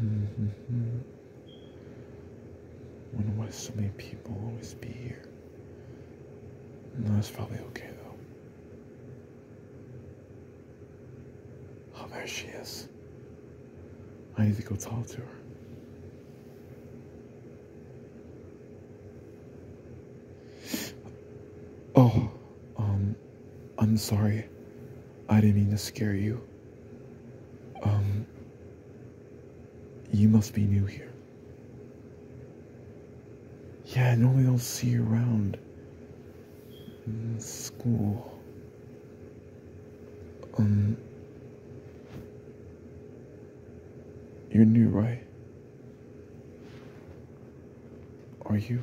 Mm-hmm. Wonder why so many people always be here. No, that's probably okay though. Oh, there she is. I need to go talk to her. Oh. Um, I'm sorry. I didn't mean to scare you. Um, you must be new here. Yeah, I normally do will see you around school. Um, you're new, right? Are you?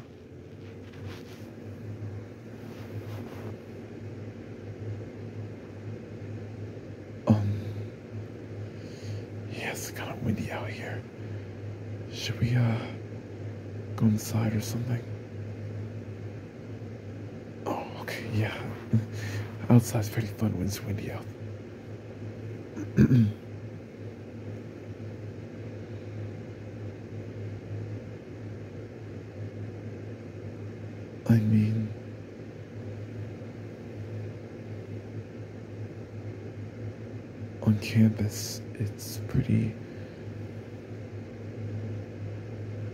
Um. Yes. it's kind of windy out here. Should we, uh, go inside or something? Oh, okay, yeah. Outside's pretty fun when it's windy out. I mean, on campus, it's pretty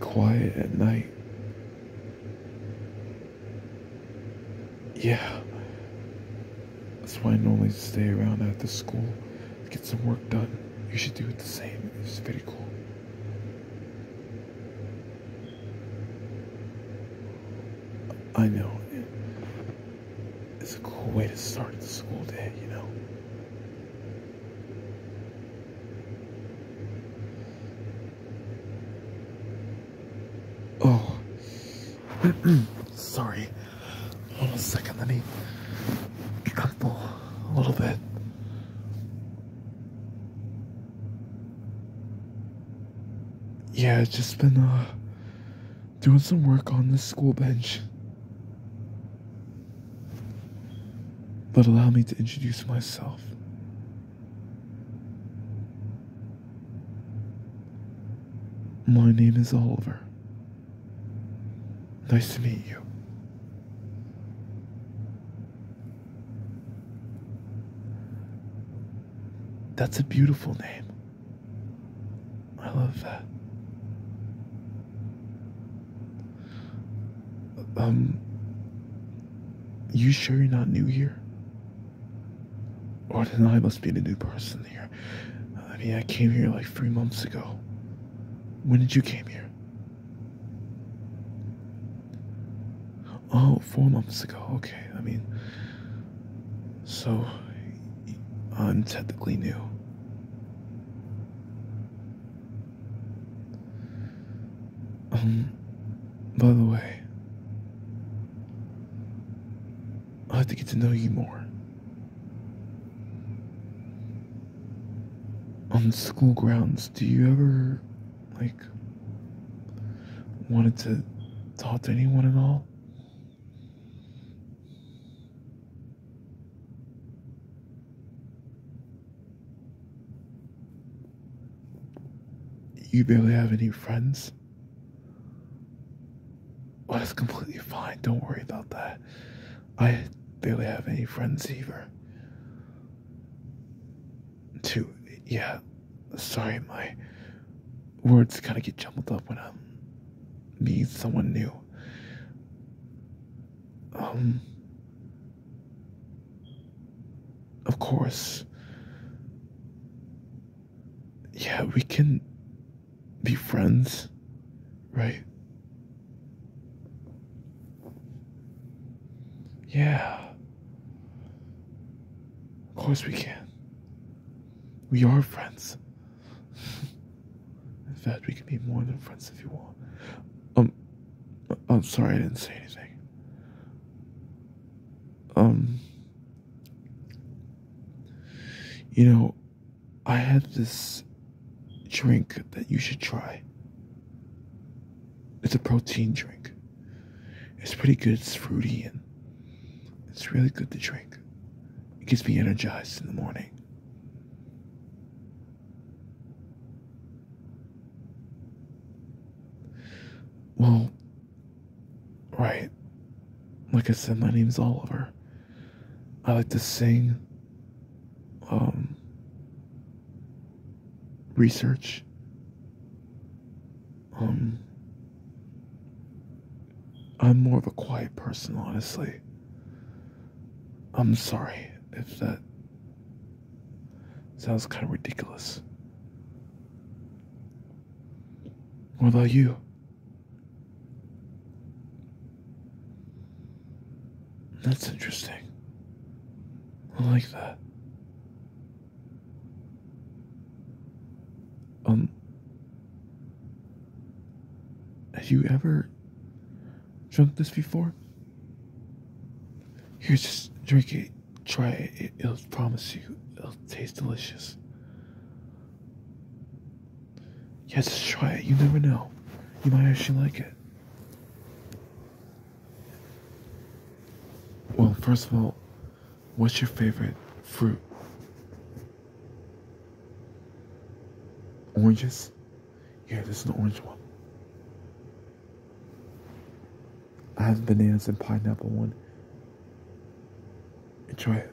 quiet at night. Yeah, that's why I normally stay around at the school get some work done. You should do it the same. It's very cool. I know. It's a cool way to start the school day, you know? Oh, Sorry. Hold on a second. Let me couple a little bit. Yeah, i just been uh, doing some work on this school bench. But allow me to introduce myself. My name is Oliver. Nice to meet you. That's a beautiful name. I love that. Um, you sure you're not new here? Or then I must be the new person here. I mean, I came here like three months ago. When did you came here? Oh, four months ago. Okay. I mean, so I'm technically new. Um, by the way, I'll have to get to know you more. On school grounds, do you ever, like, wanted to talk to anyone at all? You barely have any friends? Well, that's completely fine. Don't worry about that. I barely have any friends either. To yeah. Sorry, my words kind of get jumbled up when I meet someone new. Um, of course. Yeah, we can be friends, right? Yeah. Of course we can. We are friends. In fact, we can be more than friends if you want. Um, I'm sorry I didn't say anything. Um, you know, I have this drink that you should try. It's a protein drink. It's pretty good, it's fruity, and it's really good to drink. It gets me energized in the morning. Well, Right. Like I said, my name's Oliver. I like to sing, um, research, um, I'm more of a quiet person, honestly. I'm sorry if that sounds kind of ridiculous. What about you? That's interesting. I like that. Um, have you ever drunk this before? You just drink it, try it. It'll promise you it'll taste delicious. Yes, just try it. You never know. You might actually like it. Well, first of all, what's your favorite fruit? Oranges? yeah, this is an orange one. I have bananas and pineapple one. Enjoy it.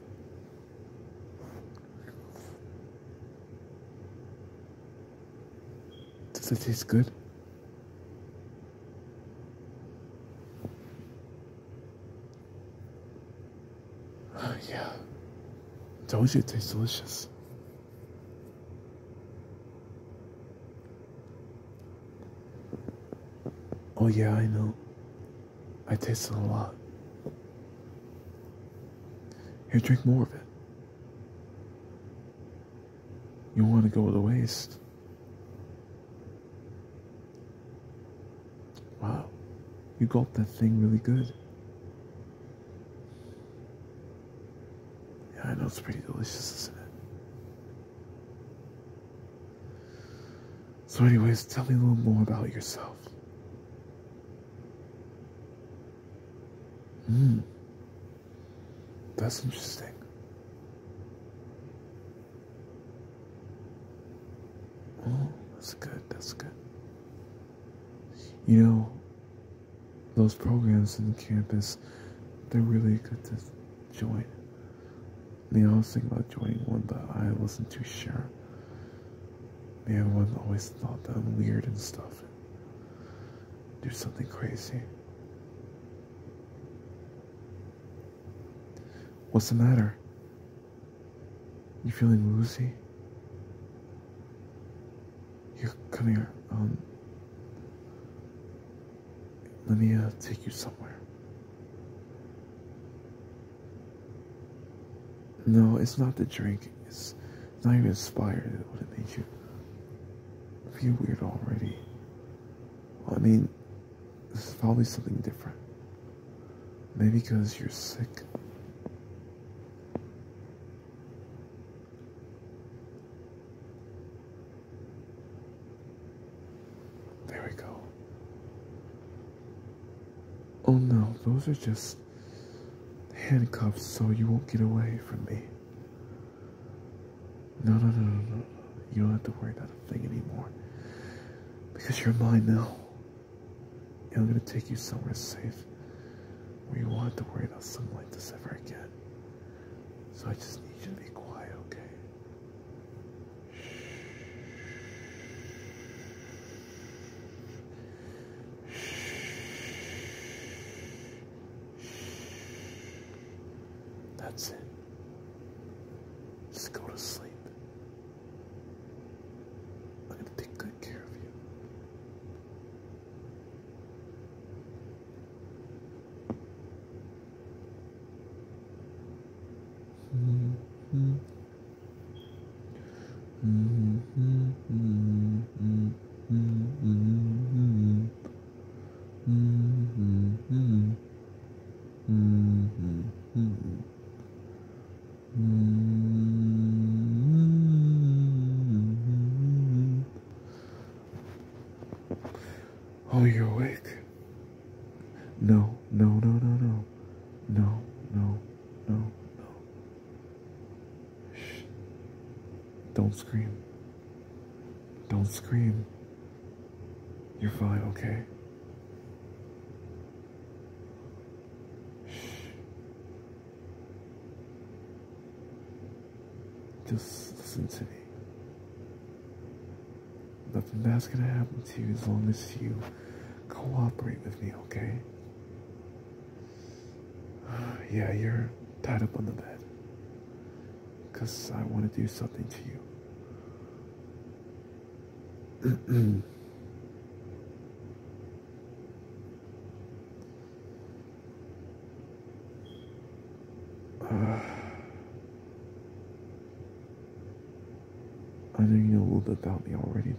Does it taste good? Oh, yeah. I you it tastes delicious. Oh, yeah, I know. I tasted a lot. You drink more of it. You want to go to waste. Wow, you gulped that thing really good. Yeah, I know it's pretty delicious, isn't it? So, anyways, tell me a little more about yourself. Hmm. That's interesting. Oh, that's good. That's good. You know, those programs in the campus, they're really good to join. Neil was thinking about joining one, but I wasn't too sure. Man, one always thought that I'm weird and stuff. do something crazy. What's the matter? You feeling woozy? Here, come here. Um, let me uh, take you somewhere. No, it's not the drink. It's not even inspired. It would have made you feel weird already. I mean, this probably something different. Maybe because you're sick. There we go. Oh no, those are just handcuffs so you won't get away from me. No, no, no, no, no. You don't have to worry about a thing anymore. Because you're mine now. And I'm going to take you somewhere safe where you won't have to worry about something like this ever again. So I just need you to be quiet, okay? That's it. Just go to sleep. I'm going to take good care of you. Oh, you're awake. No, no, no, no, no. No, no, no, Shh. Don't scream. Don't scream. You're fine, okay? Shh. Just listen to me. Nothing bad's gonna happen to you as long as you cooperate with me, okay? yeah, you're tied up on the bed. Because I want to do something to you. I know you know a little bit about me already,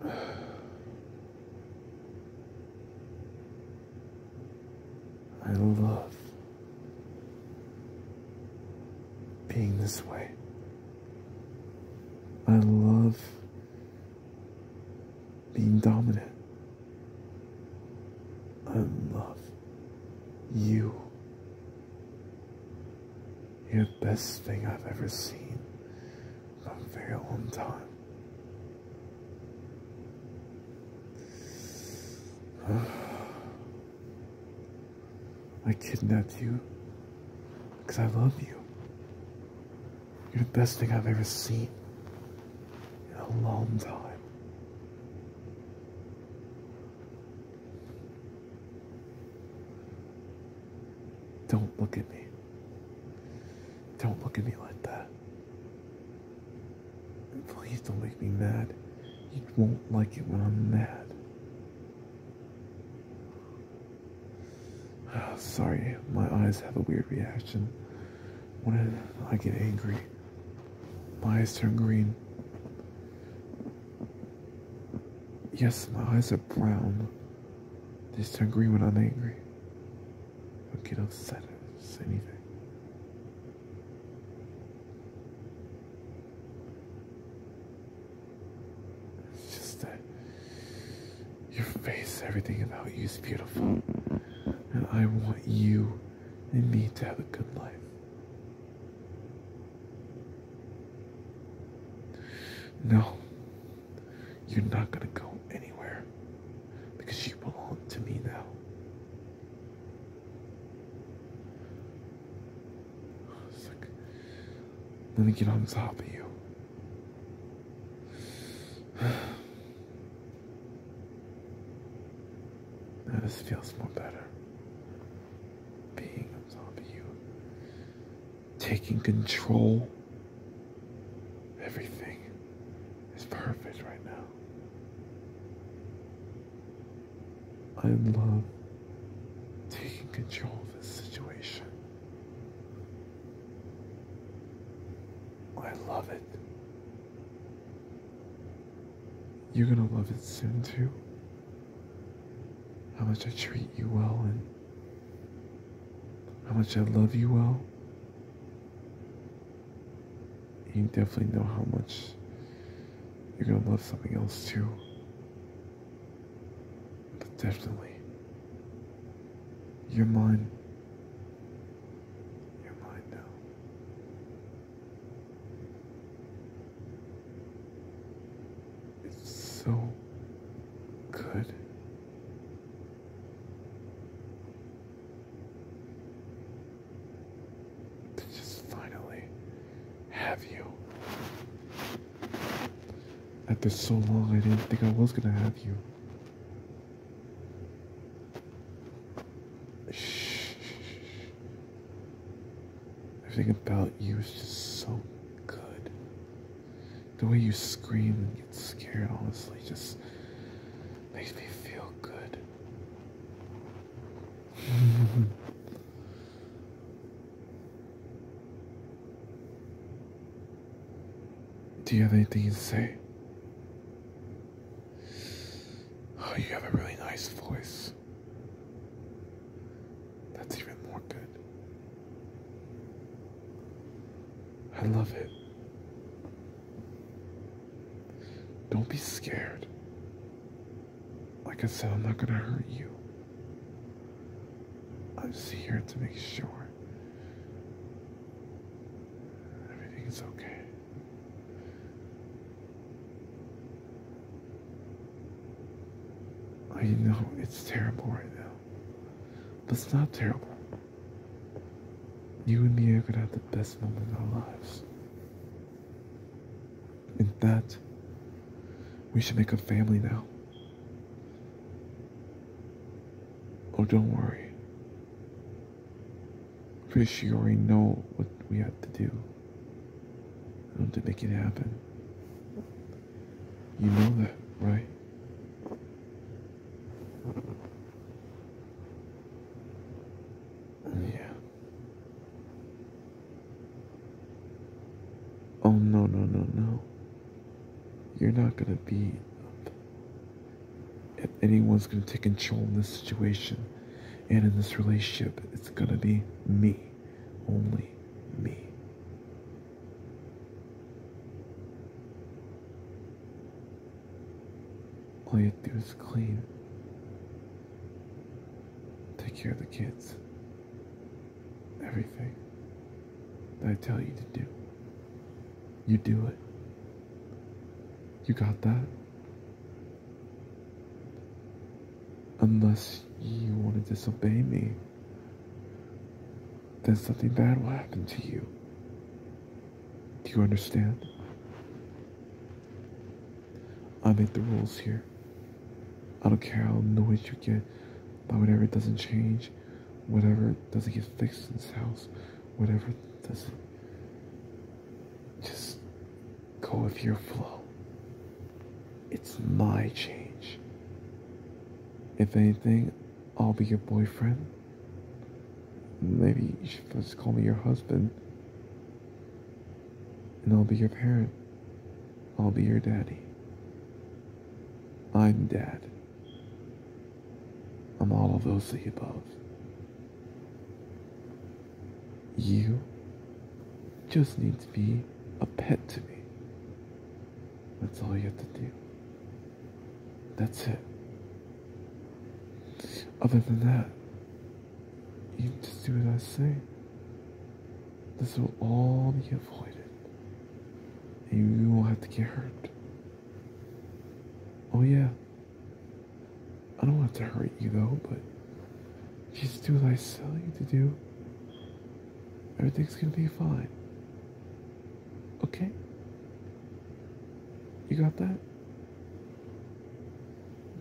but. I love being this way. I love being dominant. I love you. You're the best thing I've ever seen in a very long time. I kidnapped you because I love you. You're the best thing I've ever seen in a long time. Don't look at me. Don't look at me like that. Please don't make me mad. You won't like it when I'm mad. sorry, my eyes have a weird reaction. When I get angry, my eyes turn green. Yes, my eyes are brown. They turn green when I'm angry. I get upset at anything. It's just that your face, everything about you is beautiful. And I want you and me to have a good life. No, you're not going to go anywhere because you belong to me now. let me get on top of you. Now this feels more better. Being on you, taking control. Everything is perfect right now. I love taking control of this situation. Oh, I love it. You're gonna love it soon too. How much I treat you well and how much I love you well. You definitely know how much you're gonna love something else too. But definitely, you're mine your mind now. It's so good. To just finally have you. After so long, I didn't think I was gonna have you. Everything about you is just so good. The way you scream and get scared, honestly, just makes me feel good. Do you have anything to say? Oh, you have a really nice voice. That's even more good. I love it. Don't be scared. Like I said, I'm not gonna hurt you. I'm just here to make sure Everything is okay. I know it's terrible right now, but it's not terrible. You and me are gonna have the best moment of our lives. In that, we should make a family now. Oh, don't worry. Pretty sure you already know what we have to do. I have to make it happen. You know that, right? Yeah. Oh, no, no, no, no. You're not gonna be if anyone's going to take control in this situation and in this relationship, it's going to be me. Only me. All you have to do is clean. Take care of the kids. Everything that I tell you to do. You do it. You got that? Unless you want to disobey me, then something bad will happen to you. Do you understand? I make the rules here. I don't care how annoyed you get by whatever doesn't change whatever doesn't get fixed in this house, whatever doesn't just go with your flow. It's my change. If anything, I'll be your boyfriend. Maybe you should just call me your husband. And I'll be your parent. I'll be your daddy. I'm dad. I'm all of those the above. You just need to be a pet to me. That's all you have to do. That's it. Other than that, you just do what I say. This will all be avoided. And you won't have to get hurt. Oh, yeah. I don't want to hurt you, though, but just do what I tell you to do. Everything's gonna be fine. Okay? You got that?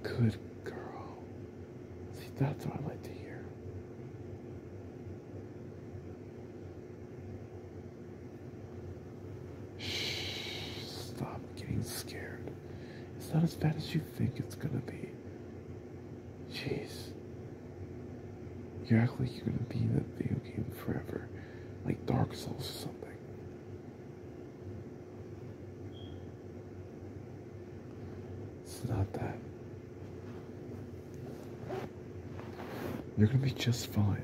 Good girl. See, that's what I like to hear. Stop getting scared. It's not as bad as you think it's gonna be. Jeez. You act like you're gonna be in that video game forever. Like Dark Souls or something. It's not that. You're going to be just fine.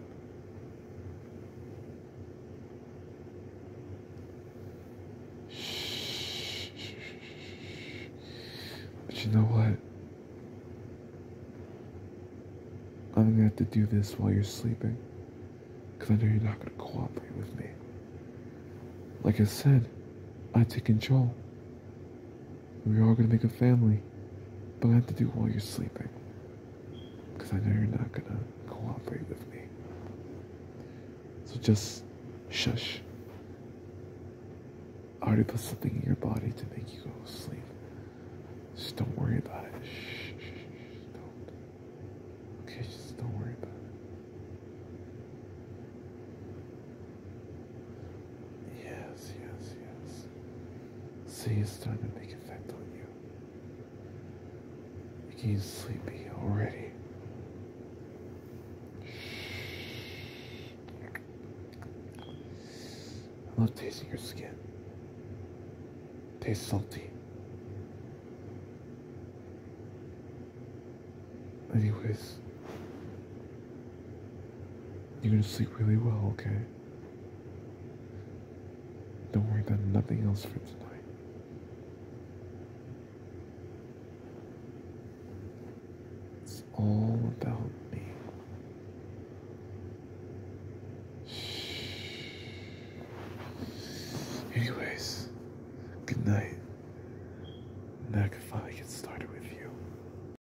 But you know what? I'm gonna have to do this while you're sleeping. Cause I know you're not gonna cooperate with me. Like I said, I take control. We are gonna make a family, but I have to do it while you're sleeping. Because I know you're not gonna cooperate with me. So just shush. I already put something in your body to make you go to sleep. Just don't worry about it. Shh, shh, don't. Okay, just don't worry about it. Yes, yes, yes. See, it's starting to make effect on you. You're sleepy already. I love tasting your skin. Tastes salty. Anyways, you're gonna sleep really well, okay? Don't worry, about nothing else for tonight. It's all about me. Anyways, good night. Now I can finally get started with you.